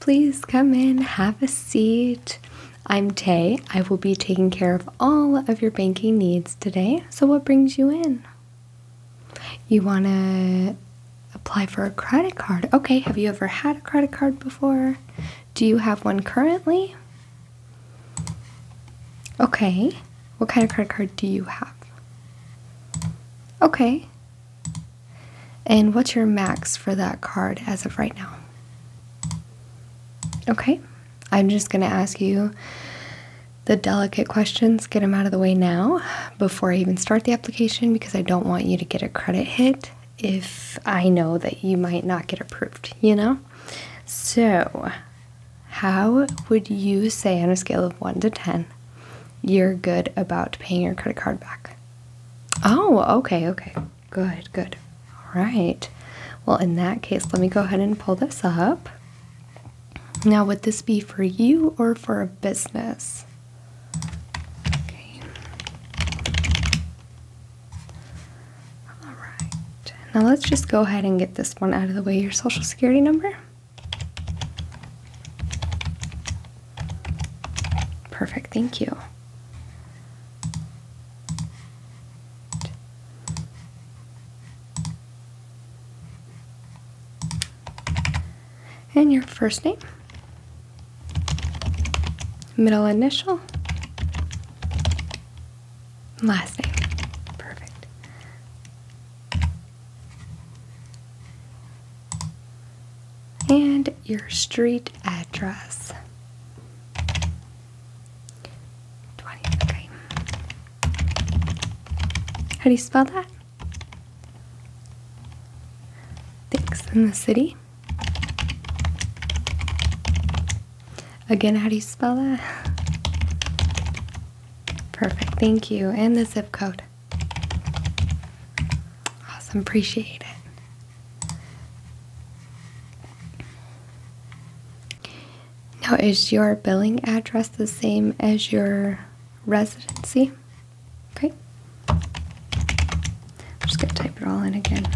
Please come in, have a seat. I'm Tay. I will be taking care of all of your banking needs today. So, what brings you in? You want to apply for a credit card. Okay, have you ever had a credit card before? Do you have one currently? Okay, what kind of credit card do you have? Okay, and what's your max for that card as of right now? Okay, I'm just going to ask you the delicate questions, get them out of the way now before I even start the application because I don't want you to get a credit hit if I know that you might not get approved, you know? So, how would you say on a scale of 1 to 10 you're good about paying your credit card back? Oh, okay, okay. Good, good. All right. Well, in that case, let me go ahead and pull this up. Now, would this be for you or for a business? Okay. All right. Now, let's just go ahead and get this one out of the way. Your social security number? Perfect, thank you. And your first name, middle initial, last name. Perfect and your street address. 20, How do you spell that? Thanks, in the city. Again, how do you spell that? Perfect, thank you. And the zip code. Awesome, appreciate it. Now, is your billing address the same as your residency? Okay. I'm just gonna type it all in again.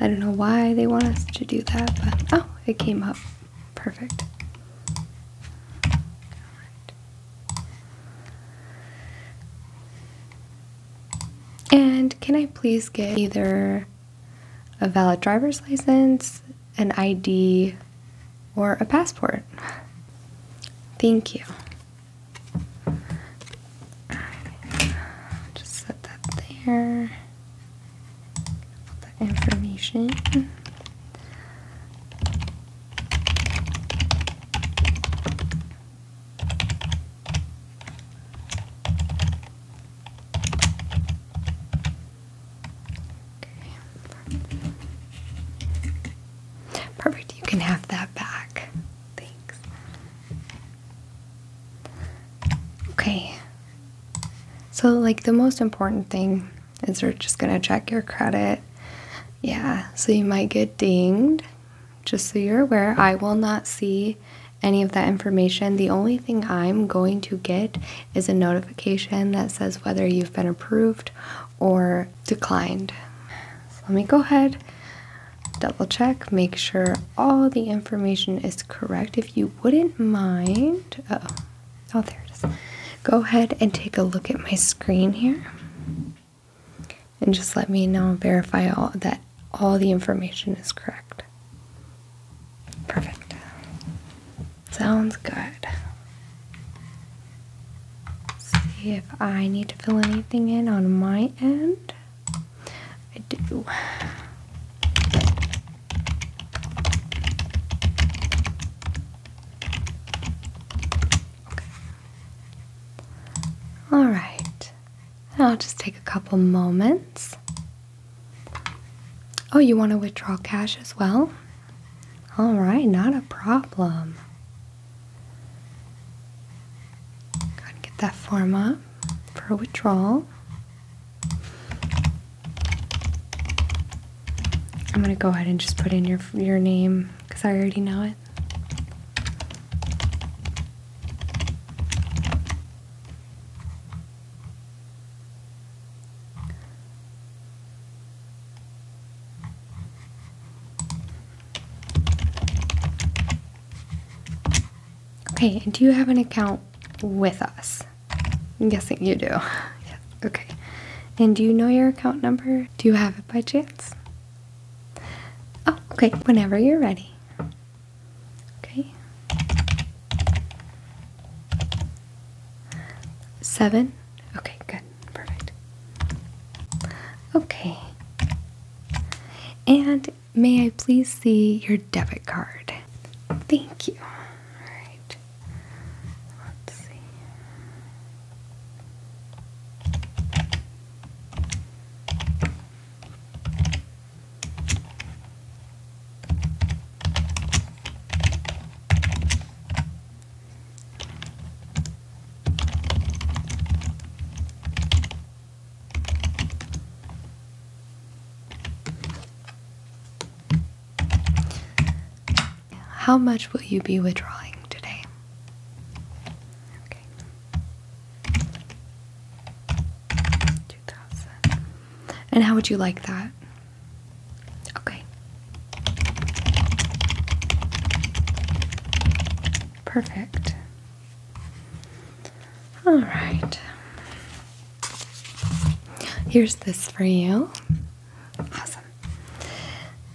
I don't know why they want us to do that, but oh, it came up. Perfect. And can I please get either a valid driver's license, an ID, or a passport? Thank you. Just set that there. Put that information. Perfect. You can have that back. Thanks. Okay. So, like, the most important thing is we're just going to check your credit. Yeah, so you might get dinged just so you're aware, I will not see any of that information. The only thing I'm going to get is a notification that says whether you've been approved or declined. let me go ahead, double check, make sure all the information is correct. If you wouldn't mind, oh, oh, there it is. Go ahead and take a look at my screen here and just let me know verify all that all the information is correct. Perfect. Sounds good. See if I need to fill anything in on my end. I do. All right, I'll just take a couple moments. Oh, you want to withdraw cash as well? All right, not a problem. Go ahead get that form up for withdrawal. I'm gonna go ahead and just put in your your name because I already know it. Okay, and do you have an account with us? I'm guessing you do. Okay. And do you know your account number? Do you have it by chance? Oh, okay, whenever you're ready. Okay. Seven? Okay, good. Perfect. Okay. And may I please see your debit card? Thank you. All right. Let's see. How much will you be withdrawing today? Okay. 2000. And how would you like that? Okay. Perfect. All right. Here's this for you. Awesome.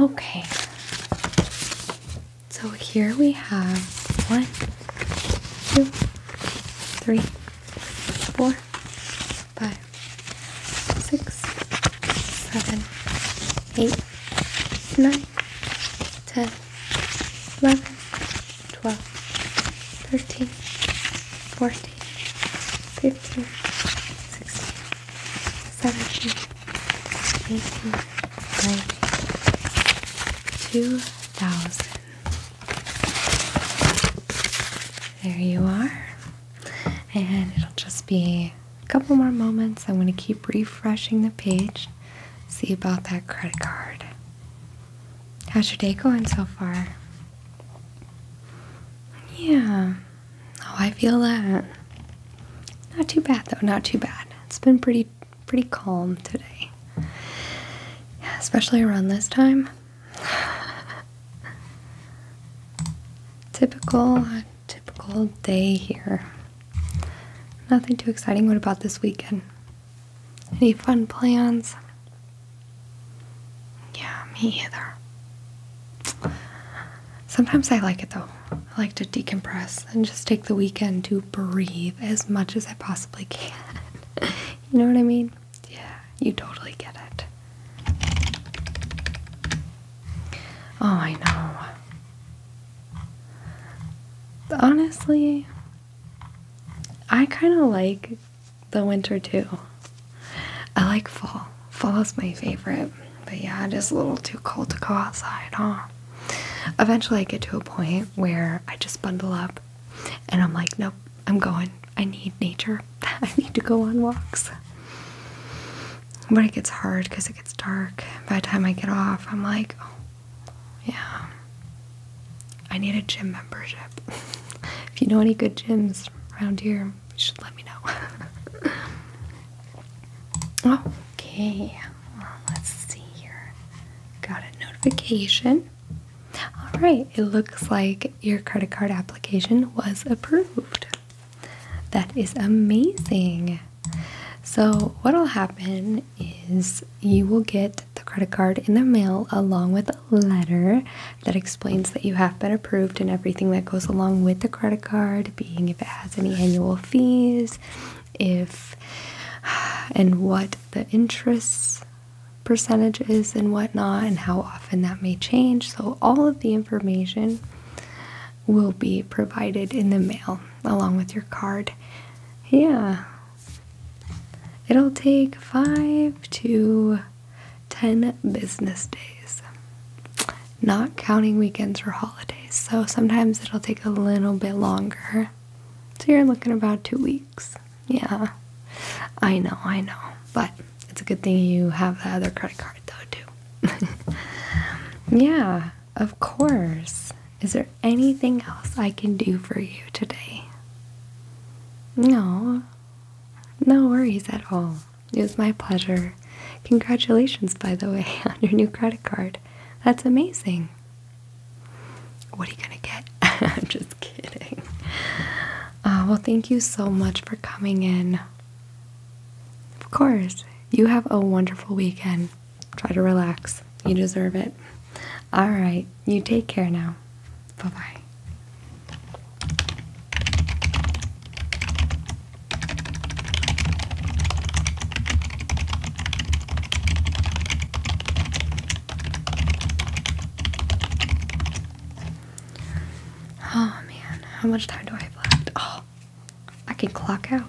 Okay, so here we have one, two, three, four, five, six, seven, eight, nine, ten, eleven. 12, 13, 14, 15, 16, 17, 18, 19, 2000. There you are. And it'll just be a couple more moments. I'm going to keep refreshing the page, see about that credit card. How's your day going so far? Yeah. Oh, I feel that. Not too bad though, not too bad. It's been pretty pretty calm today. especially around this time. typical typical day here. Nothing too exciting. What about this weekend? Any fun plans? Yeah, me either. Sometimes I like it though. I like to decompress and just take the weekend to breathe as much as I possibly can. you know what I mean? Yeah, you totally get it. Oh, I know. Honestly, I kind of like the winter too. I like fall. Fall is my favorite. But yeah, it is a little too cold to go outside, huh? Eventually I get to a point where I just bundle up and I'm like, nope, I'm going. I need nature. I need to go on walks. But it gets hard because it gets dark. By the time I get off, I'm like, oh, yeah, I need a gym membership. if you know any good gyms around here, you should let me know. okay, well, let's see here. Got a notification. All right, it looks like your credit card application was approved. That is amazing. So, what will happen is you will get the credit card in the mail along with a letter that explains that you have been approved and everything that goes along with the credit card, being if it has any annual fees, if and what the interest percentage is and whatnot, and how often that may change. So, all of the information will be provided in the mail along with your card. Yeah, It'll take five to ten business days, not counting weekends or holidays. So sometimes it'll take a little bit longer. So you're looking about two weeks. Yeah, I know, I know. But it's a good thing you have that other credit card, though, too. yeah, of course. Is there anything else I can do for you today? No, no worries at all. It was my pleasure. Congratulations, by the way, on your new credit card. That's amazing. What are you gonna get? I'm just kidding. Uh, well, thank you so much for coming in. Of course, you have a wonderful weekend. Try to relax, you deserve it. All right, you take care now. Bye bye. Oh man, how much time do I have left? Oh, I can clock out.